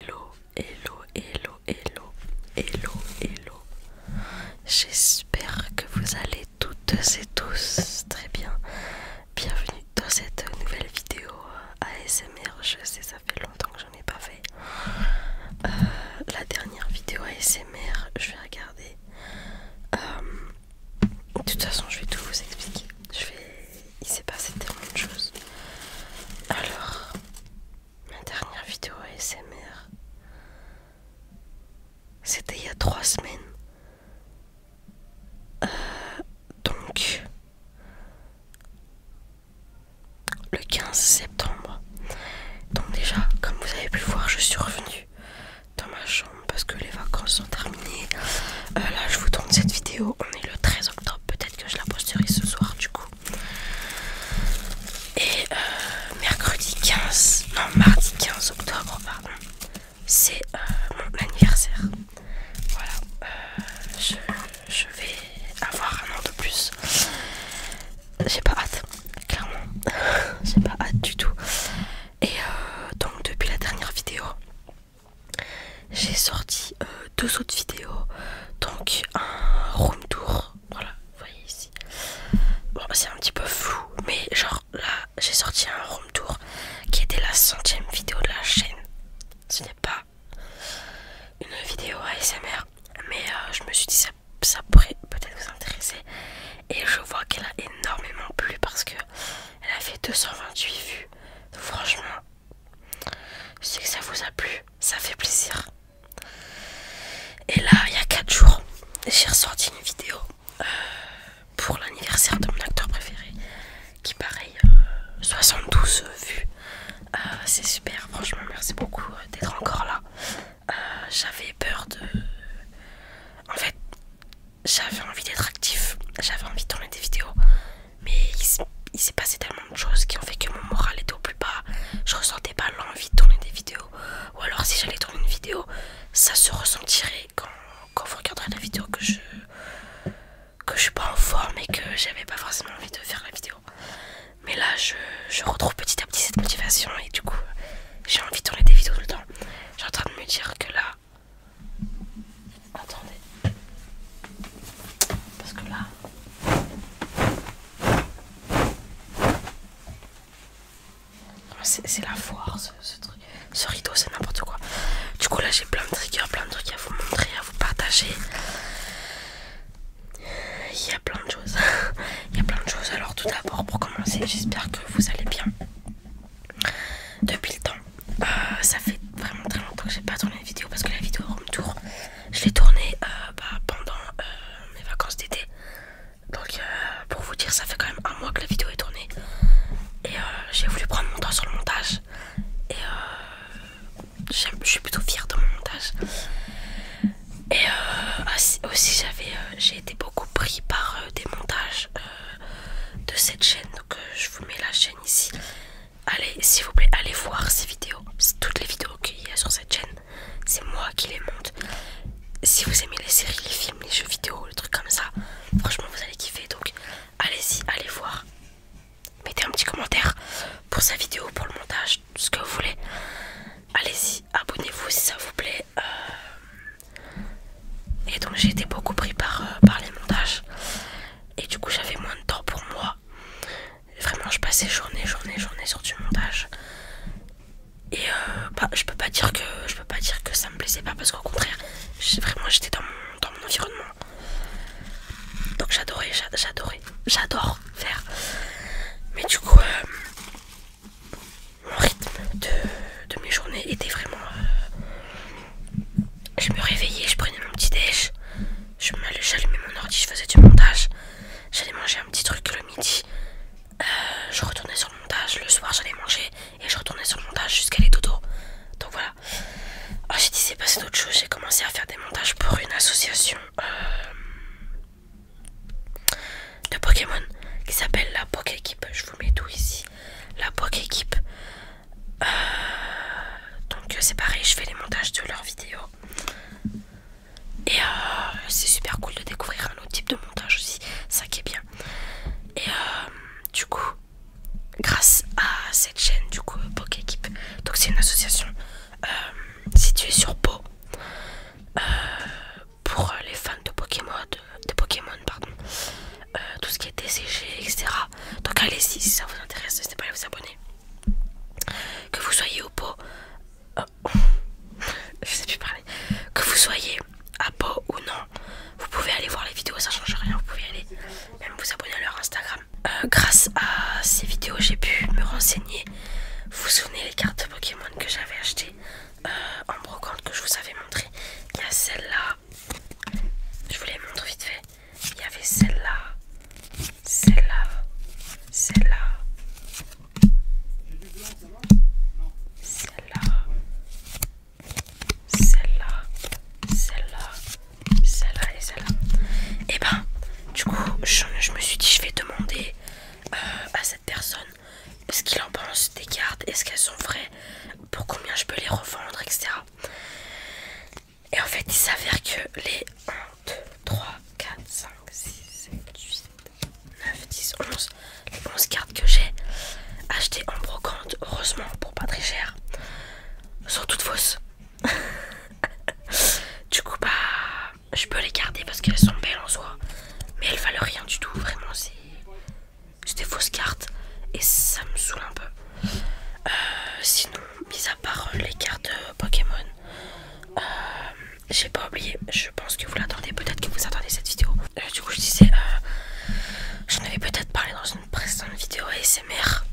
Hello, hello, hello, hello, hello, hello. J'espère que vous allez toutes et tous très bien. Bienvenue dans cette nouvelle vidéo ASMR. Je sais, ça fait longtemps que j'en ai pas fait. Euh, la dernière vidéo ASMR, je vais regarder. Euh, de toute façon, je vais tout vous expliquer. Je vais il s'est passé tellement de choses. Alors, ma dernière vidéo ASMR, c'était il y a trois semaines. Euh, donc, le 15 septembre. Donc déjà, comme vous avez pu le voir, je suis revenue dans ma chambre parce que les vacances sont terminées. Euh, là, je vous tourne cette vidéo. On est le 13 Peut-être que je la posterai ce soir du coup. Et euh, mercredi 15, non mardi 15 octobre, pardon, c'est euh, mon anniversaire. Voilà, euh, je, vais avoir un an de plus. J'ai pas hâte, clairement. J'ai pas hâte du tout. Et donc depuis la dernière vidéo, j'ai sorti euh, deux autres vidéos, donc un room tour, voilà, vous voyez ici. Bon, c'est un petit peu flou, mais genre là, j'ai sorti un room tour qui était la centième vidéo de la chaîne. Ce n'est pas une vidéo ASMR, mais euh, je me suis dit ça, pourrait peut-être vous intéresser. Et je vois qu'elle a énormément plu parce que elle a fait 228 vues. Franchement, je sais que ça vous a plu, ça fait plaisir. Et là, il y a 4 jours, j'ai ressorti une vidéo euh, pour l'anniversaire de mon acteur préféré, qui pareil, 72 euh, vues. Euh, c'est super, franchement, merci beaucoup d'être encore là. j'avais peur de... En fait, j'avais envie d'être actif, j'avais envie de tourner des vidéos, mais il, s'est passé tellement de choses qui ont fait que mon moral était au plus bas. Je ressentais pas l'envie de tourner des vidéos. Ou alors, si j'allais tourner une vidéo, ça se ressentirait quand, vous regarderez la vidéo que je que je suis pas en forme et que j'avais pas forcément envie de faire la vidéo. Mais là, je, je retrouve petit à petit cette motivation et du coup, j'ai envie de tourner des vidéos tout le temps. J'ai en train de me dire que là, Attendez. Parce que là... C'est la foire ce, truc. Ce rideau, c'est n'importe quoi. Du coup là j'ai plein de triggers, plein de trucs à vous montrer, à vous partager. Il y a plein de choses. Il y a plein de choses. Alors tout d'abord pour commencer, j'espère que vous allez bien depuis le temps. Euh, ça fait vraiment très longtemps que j'ai pas tourné une vidéo parce que la vidéo Rome tour, je l'ai tournée euh, bah, pendant euh, mes vacances d'été. Donc pour vous dire, ça fait quand même un mois que la vidéo est tournée et j'ai voulu prendre mon temps sur le montage et je suis plutôt fière de mon montage. Et ah, aussi j'avais, j'ai été beaucoup pris par des montages de cette chaîne que euh, je vous mets la chaîne ici allez s'il vous plaît allez voir ces vidéos toutes les vidéos qu'il y a sur cette chaîne c'est moi qui les monte si vous aimez les séries les films les jeux vidéo le truc comme ça franchement vous allez kiffer donc allez-y allez voir mettez un petit commentaire pour sa vidéo pour le montage tout ce que vous voulez allez-y abonnez-vous si ça vous plaît euh, Et donc j'ai été beaucoup pris par, euh, par les montages et du coup j'avais moins de temps pour moi. Vraiment je passais journée, journée, journée sur du montage. Et euh, bah, je peux pas dire que je peux pas dire que ça me plaisait pas parce qu'au contraire, vraiment j'étais dans mon, environnement. Donc j'adorais, j'adorais, j'adore faire. Mais du coup, euh, mon rythme de, mes journées était vraiment euh, je me réveillais, je prenais mon petit déj, j'allumais mon ordi, je faisais du montage, j'allais manger un petit truc le midi, euh, je retournais sur le montage, le soir j'allais manger et je retournais sur le montage jusqu'à les dodo. Donc voilà. Ah j'ai dit c'est passé d'autre chose, j'ai commencé à faire des montages pour une association euh, de Pokémon qui s'appelle la Pokéquipe, Je vous mets tout ici. La Pokéquipe. Euh, donc euh, c'est pareil, je fais les montages de leurs vidéos. Et euh, c'est super cool de découvrir un autre type de montage aussi, ça qui est bien. Et du coup, grâce à cette chaîne, du coup, Pokéquipe. donc c'est une association située sur Pau. pour les fans de Pokémon, Pokémon pardon. Euh, tout ce qui est desséché etc. Donc allez-y si ça vous intéresse, n'hésitez pas à vous abonner. Que vous soyez au pot, euh, je sais plus parler, que vous soyez à pot ou non, vous pouvez aller voir les vidéos, ça change rien, vous pouvez aller même vous abonner à leur Instagram. Euh, grâce à ces vidéos, j'ai pu me renseigner. Vous vous souvenez les cartes Pokémon que j'avais achetées en brocante que je vous avais montré Il y a celle-là, je vous les montre vite fait. Il y avait celle-là, celle-là, celle-là, celle-là, celle-là, celle-là, celle-là et celle-là. Et eh ben, du coup, je, me suis dit, je vais demander euh, à cette personne ce qu'il en pense des cartes, est-ce qu'elles sont vraies, pour combien je peux les revendre, etc. Et en fait, il s'avère que les 1, 2, 3, 4, 5, 6, 7, 8, 9, 10, 11, les 11 cartes que j'ai achetées en brocante, heureusement pour pas très cher, sont toutes fausses. du coup, bah, je peux les garder parce qu'elles sont belles en soi, mais elles valent rien du tout, vraiment, c'est des fausse carte et ça me saoule un peu. Euh, sinon, mis à part euh, les cartes Pokémon, euh, j'ai pas oublié, je pense que vous l'attendez, peut-être que vous attendez cette vidéo. du coup, je disais, euh, j'en avais peut-être parlé dans une précédente vidéo ASMR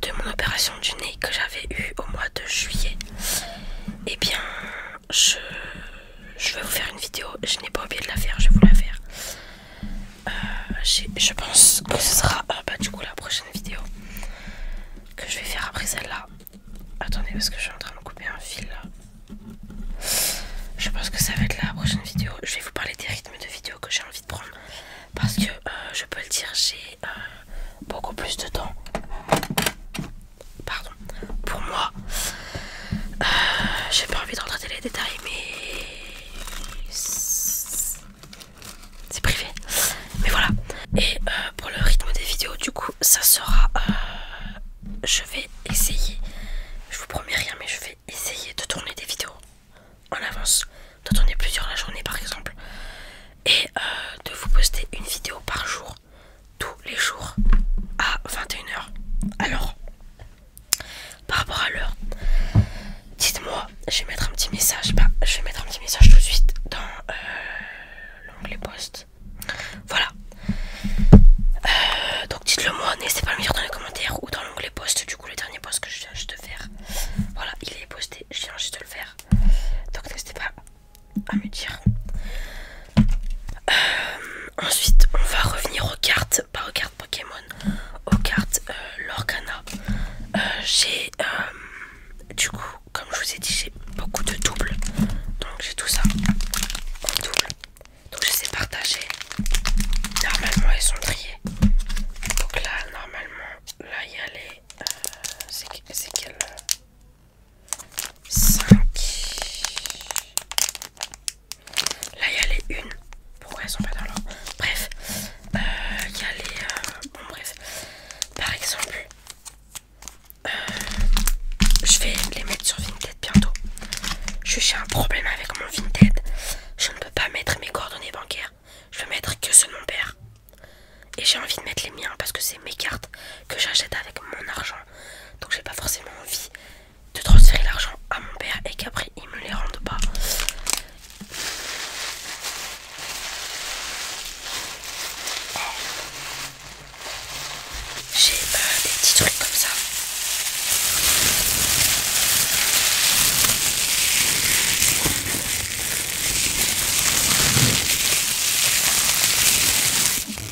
de mon opération du nez que j'avais eu au mois de juillet. Et eh bien, je, vais vous faire une vidéo. Je n'ai pas oublié de la faire, je vais vous la faire. Euh, je pense que ce sera euh, bah, du coup la prochaine vidéo que je vais faire après celle-là. Attendez, parce que je suis en train de couper un fil Je pense que ça va être la prochaine vidéo. Je vais vous parler des rythmes de vidéo que j'ai envie de prendre. Parce que euh, je peux le dire, j'ai beaucoup plus de temps pardon, pour moi. Euh, j'ai pas envie de les détails, mais c'est privé. Mais voilà. Et euh, pour le rythme des vidéos, du coup, ça sera. Euh, je vais essayer. Je vous promets rien, mais je vais essayer de tourner des vidéos en avance, de tourner plusieurs la journée par exemple, et de vous poster une vidéo par jour tous les jours à 21h. Alors, par rapport à l'heure, dites-moi, je vais mettre un petit message, bah, je vais mettre un petit message tout de suite dans euh, l'onglet post. Voilà. Euh, donc dites-le moi, n'hésitez pas à le dire dans les commentaires ou dans l'onglet post, du coup le dernier post que je viens juste de faire. Voilà, il est posté, je viens juste de le faire. Donc n'hésitez pas à me dire. Euh, ensuite, on va revenir aux cartes, pas aux cartes Pokémon, aux cartes euh, l'organa euh, j'ai, du coup, comme je vous ai dit, j'ai beaucoup de doubles, donc j'ai tout ça en double. Donc je les ai Normalement, ils sont triés. Donc là, normalement, là il y a les. c'est quelle 5. Là, il y a les 1. Pourquoi elles sont pas dans l'ordre Bref, euh, il y a les. Euh, bon, bref. Par exemple, euh, je vais les mettre sur Vinted bientôt. Je un problème avec mon Vinted. Je ne peux pas mettre mes coordonnées bancaires. Je veux mettre que ce de mon père. Et j'ai envie de mettre les miens parce que c'est mes cartes que j'achète avec mon argent donc j'ai pas forcément envie de transférer l'argent à mon père et qu'après il me les rende pas. Eh. J'ai euh, des petits trucs comme ça.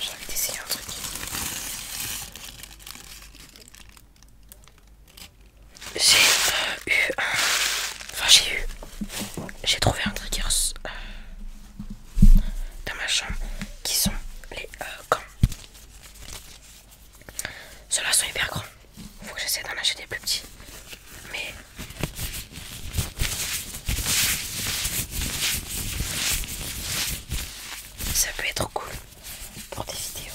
J'ai envie d'essayer un truc. J'ai eu un... Enfin j'ai eu... J'ai trouvé un trigger euh, dans ma chambre qui sont les camps. Euh, gants. Ceux-là sont hyper grands. il Faut que j'essaie d'en acheter des plus petits. Mais ça peut être cool pour des vidéos.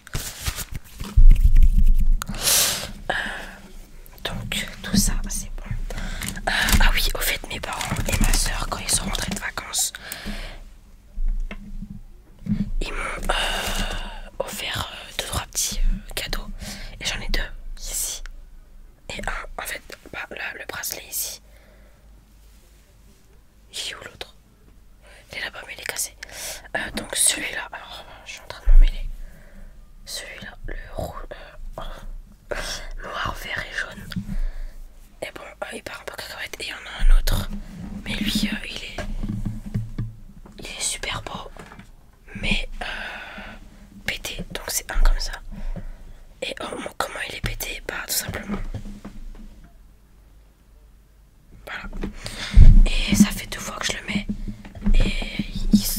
Euh, donc tout ça c'est bon. Euh, ah oui, au fait mes parents et ma soeur quand ils sont rentrés de vacances, ils m'ont euh, offert deux trois petits cadeaux. Et j'en ai deux ici. Et un en fait, bah, le bracelet ici. et où l'autre il est là-bas, mais il est cassé. Euh, donc celui-là, alors je suis en train de m'en mêler. Celui-là, le rouge, euh, oh, noir, vert et jaune. Et bon, euh, il part un peu cacahuète. Et il y en a un autre. Mais lui, il est. Il est super beau. Mais pété. Donc c'est un comme ça. Et oh, comment il est pété Bah, tout simplement. Voilà. Et ça fait deux fois que je le mets et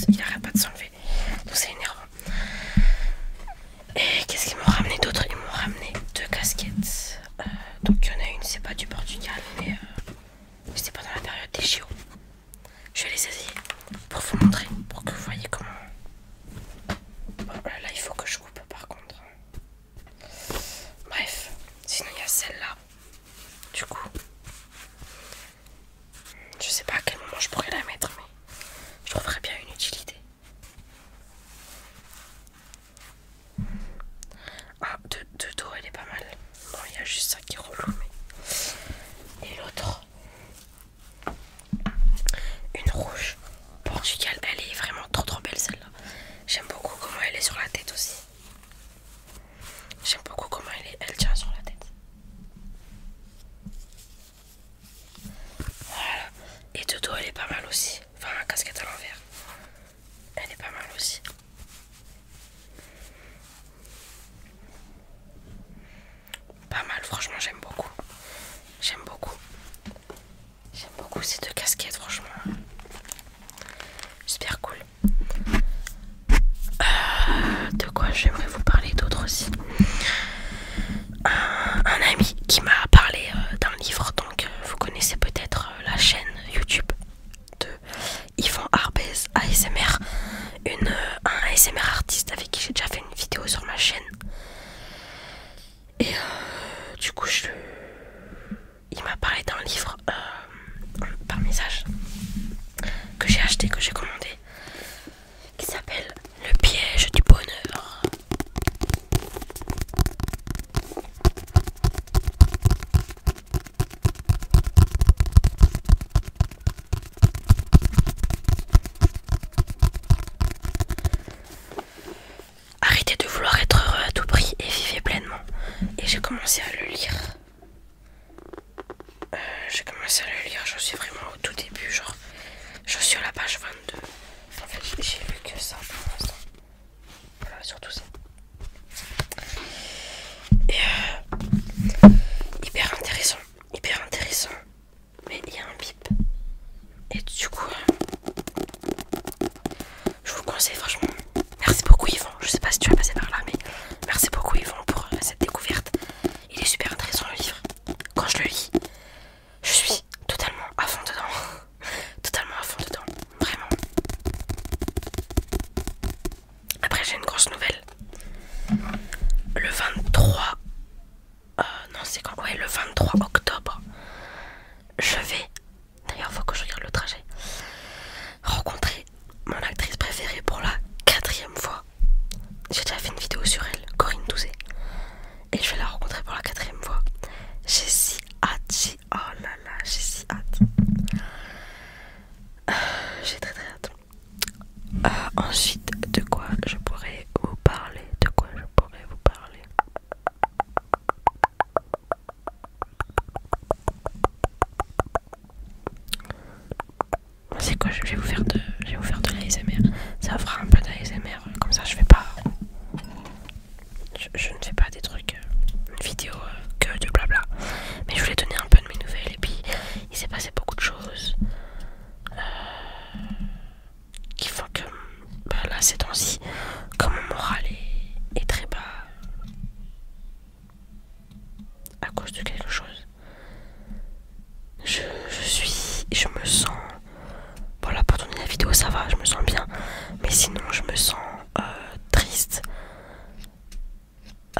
il arrête pas de s'enlever. Donc c'est énervant. Et qu'est-ce qu'ils m'ont ramené d'autre Ils m'ont ramené deux casquettes. Euh, donc il y en a une, c'est pas du Portugal, mais c'était euh, c'est pas dans la période des JO. Je vais les essayer pour vous montrer, pour que vous voyez comment. Bon, là, il faut que je coupe par contre. Bref, sinon il y a celle-là du coup, je sais pas à quel moment je pourrais la mettre, mais je trouverais bien une utilité. Ah, de dos, elle est pas mal. Bon, il y a juste ça qui est relou, mais. Et l'autre. Une rouge portugal, elle est vraiment trop trop belle celle-là. J'aime beaucoup comment elle est sur la tête aussi. J'aime beaucoup comment elle, est, elle tient sur la tête. Voilà. Et de elle est pas mal aussi. Enfin, la casquette à l'envers. Elle est pas mal aussi. Pas mal, franchement, j'aime beaucoup. J'aime beaucoup. J'aime beaucoup ces deux casquettes, franchement. Super cool. Euh, de quoi j'aimerais vous parler d'autre aussi un, ami qui m'a parlé euh, d'un livre, donc euh, vous connaissez peut-être la chaîne YouTube de Yvon Arbez ASMR, une, un ASMR artiste avec qui j'ai déjà fait une vidéo sur ma chaîne. Et du coup, je, il m'a parlé d'un livre euh, par message que j'ai acheté, que j'ai commandé, qui s'appelle Le piège du bonheur. Arrêtez de vouloir être heureux à tout prix et vivez pleinement. Et j'ai commencé à le lire. Euh, j'ai commencé à le lire, je suis vraiment au tout début, genre je suis à la page 22. En fait, j'ai lu que ça pour l'instant. Voilà, surtout ça. Et euh, hyper intéressant, hyper intéressant. Mais il y a un bip. Et du coup, euh, je vous conseille franchement. Merci beaucoup Yvon. Je sais pas si tu vas passer par là, mais merci beaucoup Yvon pour euh, cette découverte. Il est super intéressant le livre. Quand je le lis, je suis totalement à fond dedans. totalement à fond dedans. Vraiment. Après j'ai une grosse nouvelle. Le 23... Euh, non c'est quand le 23 octobre. Je vais D'ailleurs, faut que je regarde le trajet. Rencontrer mon actrice préférée pour la quatrième fois. J'ai déjà fait une vidéo sur elle, Corinne Douzé. Et je vais la rencontrer pour la quatrième fois. J'ai si hâte, j'ai... Oh là là, j'ai si hâte. Euh, j'ai très très hâte. Euh, ensuite, de quoi je pourrais vous parler De quoi je pourrais vous parler c'est quoi je vais vous faire de je vais de l'ASMR. Ça fera un peu d'ASMR comme ça je fais pas je, ne fais pas des trucs euh, vidéo euh, que de blabla. Mais je voulais donner un peu de mes nouvelles et puis il s'est passé beaucoup de choses. Euh, qu'il faut que bah, là c'est temps-ci comme mon moral est, très bas à cause de quelque chose je, je suis je me sens voilà pour tourner la vidéo ça va je me sens bien mais sinon je me sens euh, triste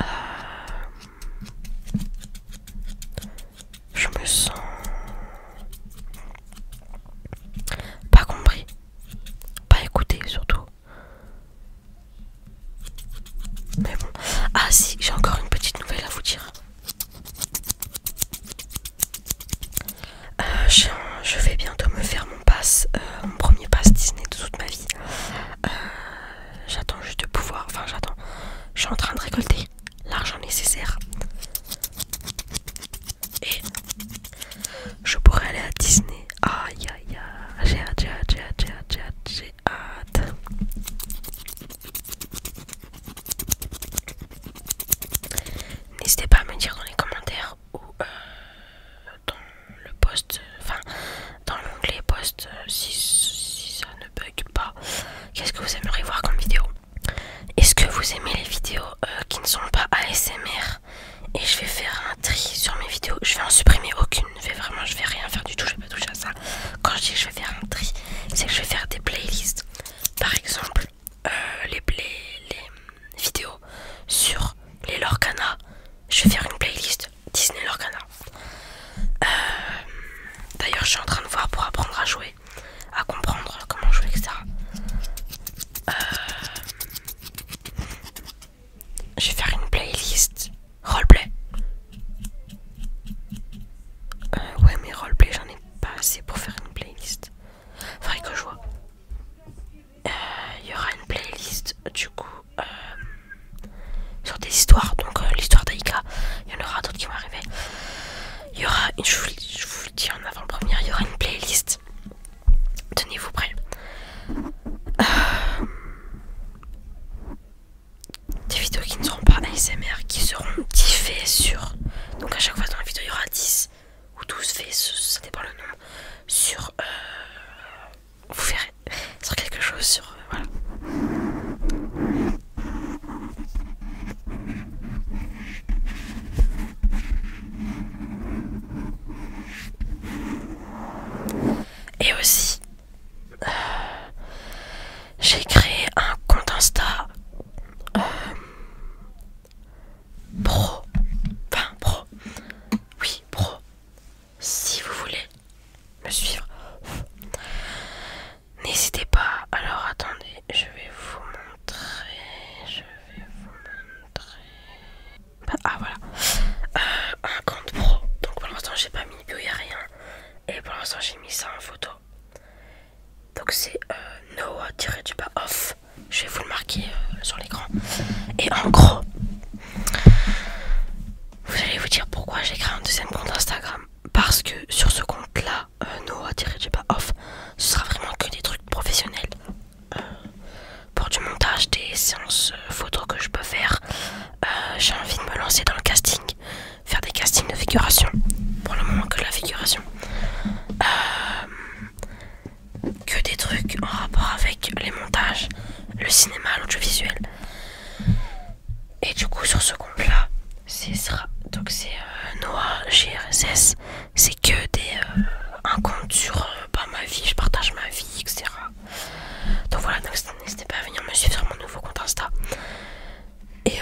euh, je me sens pas compris. Pas écouté surtout. Mais bon. Ah si, j'ai encore une petite nouvelle à vous dire. Euh, je, vais bientôt me faire mon passe, euh, mon premier passe Disney de toute ma vie. Euh, j'attends juste de pouvoir, enfin j'attends. Je suis en train de récolter l'argent nécessaire et je pourrais aller à Disney. Aïe aïe aïe, j'ai hâte, j'ai hâte, j'ai N'hésitez pas à me dire dans les commentaires ou euh, dans le post, enfin dans l'onglet post euh, si, si ça ne bug pas. Qu'est-ce que vous aimeriez voir comme vidéo est-ce que vous aimez les vidéos euh, qui ne sont pas ASMR Et je vais faire un tri sur mes vidéos. Je vais en supprimer aucune. Je vais vraiment, je vais rien faire du tout. Je vais pas toucher à ça. Quand je dis que je vais faire un tri, c'est que je vais faire des playlists. Par exemple, euh, les, vidéos sur les Lorcana. Je vais faire une playlist Disney Lorcana. Euh, d'ailleurs, je suis en train de voir pour apprendre à jouer à comprendre comment jouer, etc. Euh, je vais faire une playlist roleplay. Euh, ouais, mais roleplay, j'en ai pas assez pour faire une playlist. Faudrait que je vois. Il euh, y aura une playlist du coup sur des histoires, donc l'histoire d'Aïka. Il y en aura d'autres qui vont arriver. Il y aura, je, vous, le dis en avant-première, il y aura une playlist. Tenez-vous prêts. Euh, des vidéos qui ne seront pas ASMR, qui seront 10 sur. Donc à chaque fois dans la vidéo, il y aura 10 ou 12 faits, ça dépend le nom, Sur. Euh, vous verrez. Sur quelque chose, sur. Euh, voilà. Et aussi, euh, j'ai créé un compte Insta euh, pro, enfin pro, oui pro, si vous voulez me suivre. N'hésitez pas. Alors attendez, je vais vous montrer. Je vais vous montrer. ah voilà. Euh, un compte pro. Donc pour l'instant j'ai pas mis bio, y a rien. Et pour l'instant j'ai mis ça en photo. Donc c'est euh, Noah du bas off. Je vais vous le marquer euh, sur l'écran. Et en gros, vous allez vous dire pourquoi j'ai créé un deuxième compte Instagram. Parce que sur ce compte là, du euh, pas off ce sera vraiment que des trucs professionnels. Euh, pour du montage, des séances euh, photos que je peux faire, j'ai envie de me lancer dans le casting, faire des castings de figuration, pour le moment que la figuration. que des trucs en rapport avec les montages, le cinéma, l'audiovisuel. Et du coup, sur ce compte-là, c'est donc c'est euh, Noah GRSS. C'est que des euh, un compte sur pas euh, bah, ma vie, je partage ma vie, etc. Donc voilà, n'hésitez pas à venir me suivre sur mon nouveau compte Insta. Et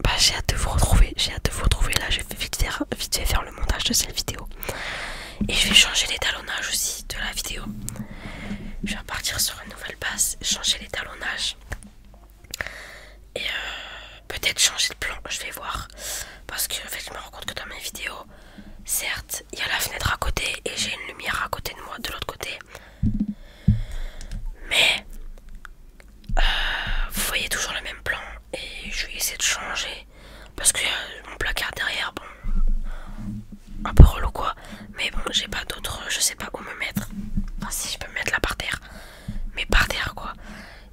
bah, j'ai hâte de vous retrouver. J'ai hâte de vous retrouver. Là, je vais vite vite faire le montage de cette vidéo. Et je vais changer l'étalonnage aussi de la vidéo. Je vais repartir sur une nouvelle base, changer l'étalonnage et euh, peut-être changer de plan, je vais voir. Parce que je me rends compte que dans mes vidéos, certes, il y a la fenêtre à côté et j'ai une lumière à côté de moi, de l'autre côté. Mais euh, vous voyez toujours le même plan et je vais essayer de changer. Parce que euh, mon placard derrière, bon, un peu relou quoi. Mais bon, j'ai pas d'autre. Je sais pas où me mettre. Enfin, si je peux mettre là par terre. Mais par terre, quoi.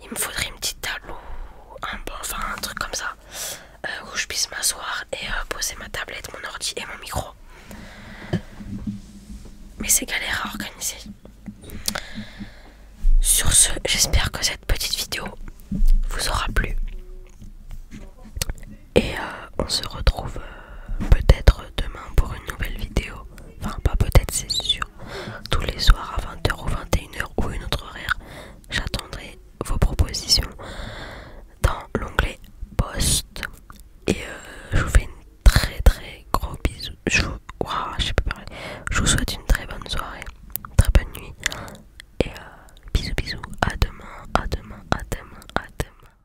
Il me faudrait une petite table ou un bon, enfin un truc comme ça. Euh, où je puisse m'asseoir et euh, poser ma tablette, mon ordi et mon micro. Mais c'est galère à organiser. Sur ce, j'espère que cette petite vidéo vous aura plu. Et euh, on se retrouve peut-être demain pour une nouvelle vidéo. Enfin, pas peut-être, c'est sûr. Tous les soirs à 20h ou 21h ou une autre horaire, j'attendrai vos propositions dans l'onglet post. Et euh, je vous fais une très très gros bisou. Je vous, parler. Je vous souhaite une très bonne soirée, très bonne nuit. Et euh, bisous bisous. À demain, à demain, à demain, à demain.